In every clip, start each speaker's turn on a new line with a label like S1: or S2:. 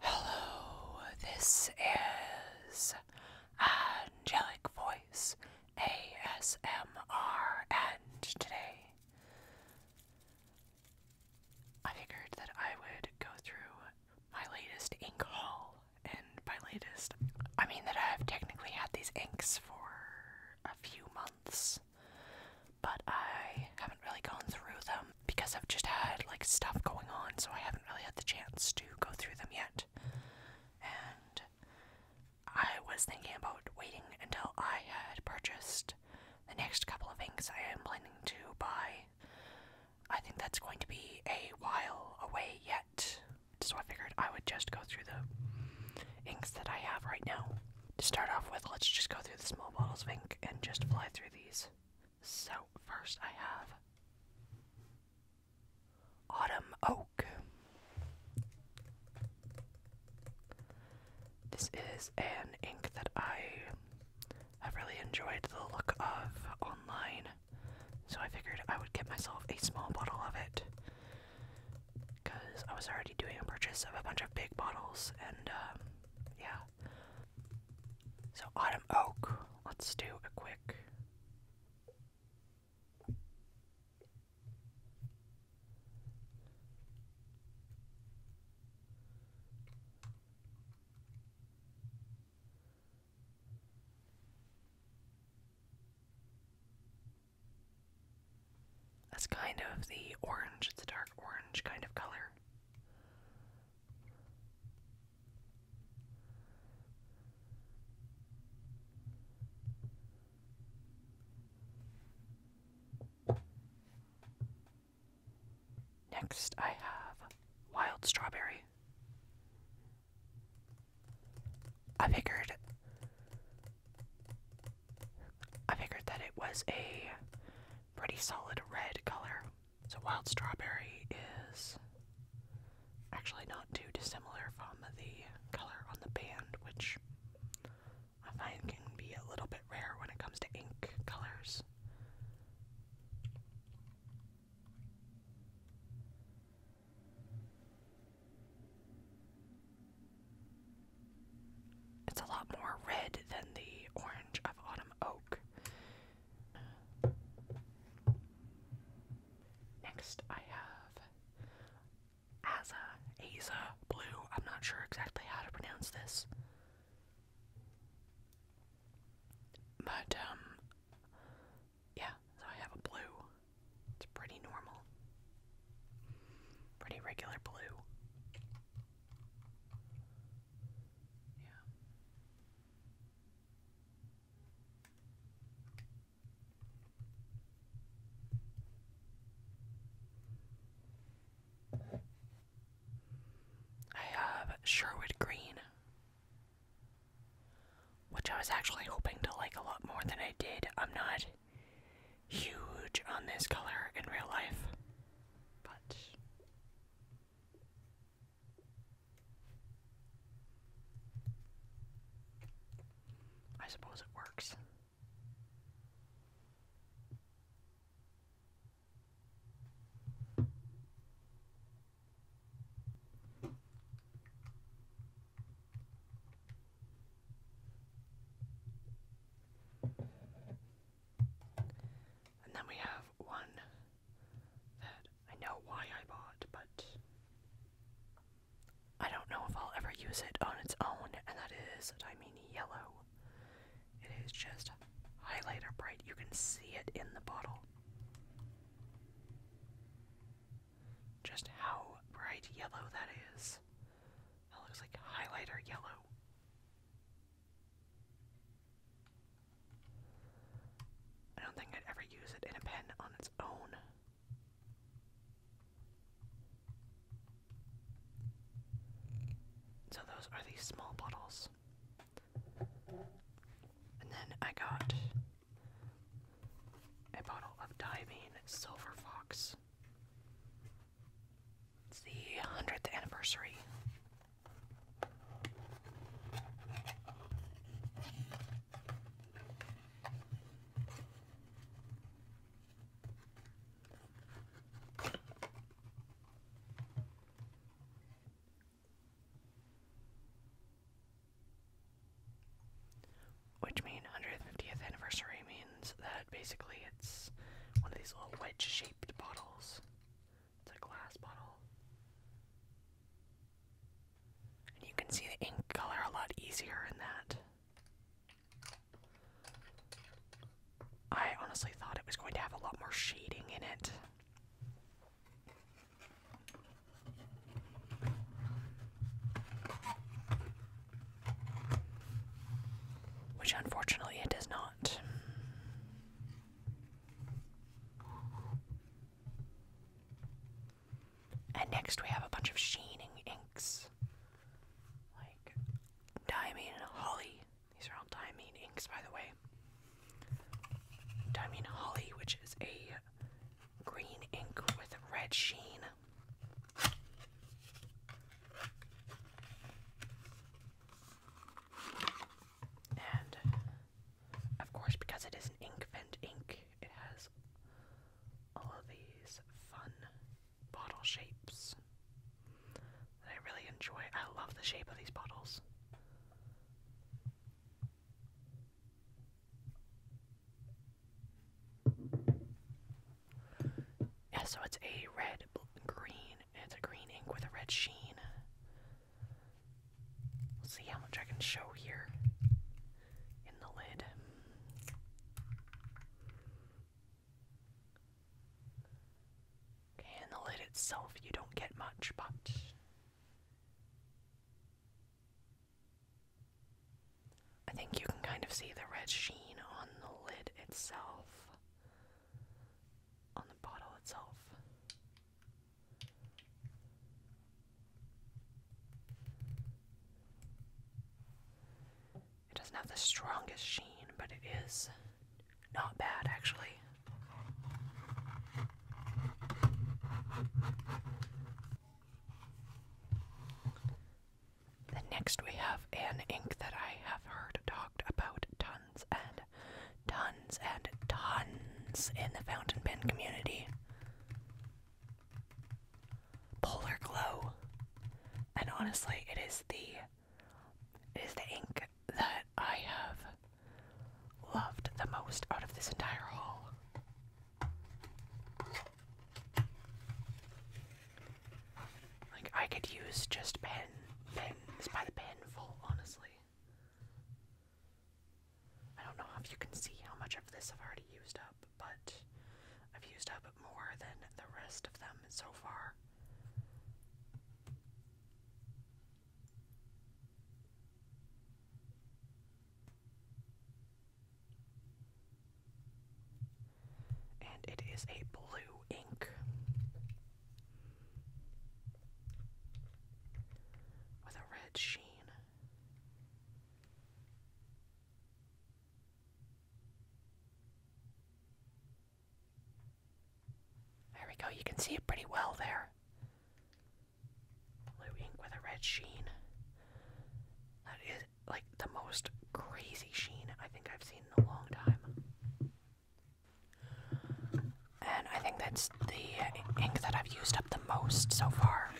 S1: Hello, this is Angelic Voice ASMR, and today I figured that I would go through my latest ink haul, and by latest, I mean that I've technically had these inks for a few months, but I haven't really gone through them because I've just had like stuff going on, so I haven't really had the chance to go through them yet. And I was thinking about waiting until I had purchased the next couple of inks I am planning to buy. I think that's going to be a while away yet, so I figured I would just go through the inks that I have right now. To start off with, let's just go through the small bottles of ink and just fly through these. So, first I have Autumn Oak. This is an ink that I have really enjoyed the look of online, so I figured I would get myself a small bottle of it. Because I was already doing a purchase of a bunch of big bottles, and um, yeah. So Autumn Oak, let's do a quick That's kind of the orange, it's a dark orange kind of color. Next, I have wild strawberry. I figured I figured that it was a pretty solid red color. So wild strawberry is actually not too dissimilar from the color on the band, which I find can be a little bit rare when it comes to ink colors. It's a lot more red than the orange of Autumn Oak, Next, I have Aza, Aza Blue. I'm not sure exactly how to pronounce this. But, um, yeah, so I have a blue. It's pretty normal. Pretty regular blue. Yeah. I have Sherwood Green, which I was actually hoping to like a lot more than I did. I'm not huge on this color in real life, but I suppose it works. And then we have one that I know why I bought, but I don't know if I'll ever use it on its own, and that is Dimini Yellow. It is just highlighter bright. You can see it in the bottle. Just how bright yellow that is. That looks like highlighter yellow. I don't think I'd ever use it in a pen on its own. So those are these small bottles. And then I got a bottle of Diving Silver Fox. It's the 100th anniversary which mean 150th anniversary means that basically it's one of these little wedge shaped bottles. It's a glass bottle. And you can see the ink color a lot easier in that. I honestly thought it was going to have a lot more shading in it. Which unfortunately it does not. And next we have a bunch of sheening inks. Like diamine and holly. These are all diamine inks, by the way. Diamine holly, which is a green ink with red sheen. And of course, because it is an ink vent ink, it has all of these fun bottle shapes that I really enjoy. I love the shape of these bottles. Yeah, so it's a red, green, it's a green ink with a red sheen. Let's see how much I can show here in the lid. Okay, in the lid itself, you don't get much, but I think you can kind of see the red sheen on the lid itself, on the bottle itself. It doesn't have the strongest sheen, but it is not bad actually. Then next we have an ink that I have heard talked about tons and tons and tons in the Fountain Pen community. Polar Glow. And honestly, it is the it is the ink that I have loved the most out of this entire haul. Like I could use just pen pens by the penful, honestly. I don't know if you can see how much of this I've already used up, but I've used up more than the rest of them so far. And it is a blue ink with a red sheen. There we go, you can see it pretty well there. Blue ink with a red sheen. That is like the most crazy sheen I think I've seen in a long time. And I think that's the ink that I've used up the most so far.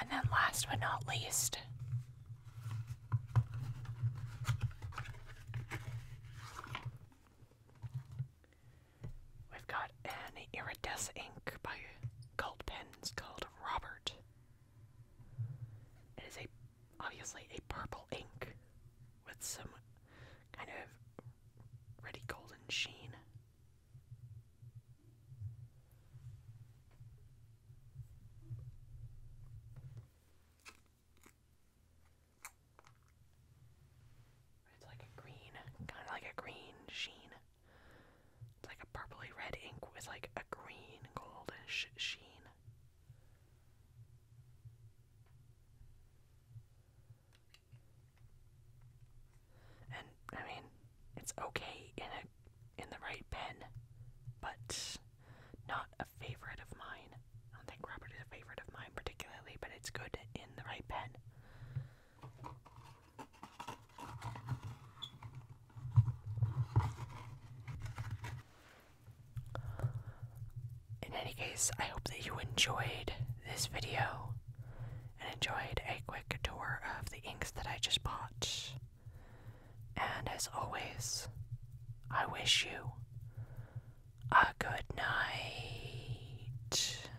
S1: And then, last but not least, we've got an iridescent ink by Gold Pens called Robert. It is a obviously a purple ink with some kind of reddy golden sheen. It's like a green, kind of like a green sheen. It's like a purpley red ink with like a green goldish sheen. And I mean, it's okay in a in the right pen, but not a favorite of mine. I don't think Robert is a favorite of mine particularly, but it's good in the right pen. In any case, I hope that you enjoyed this video and enjoyed a quick tour of the inks that I just bought. And as always, I wish you a good night.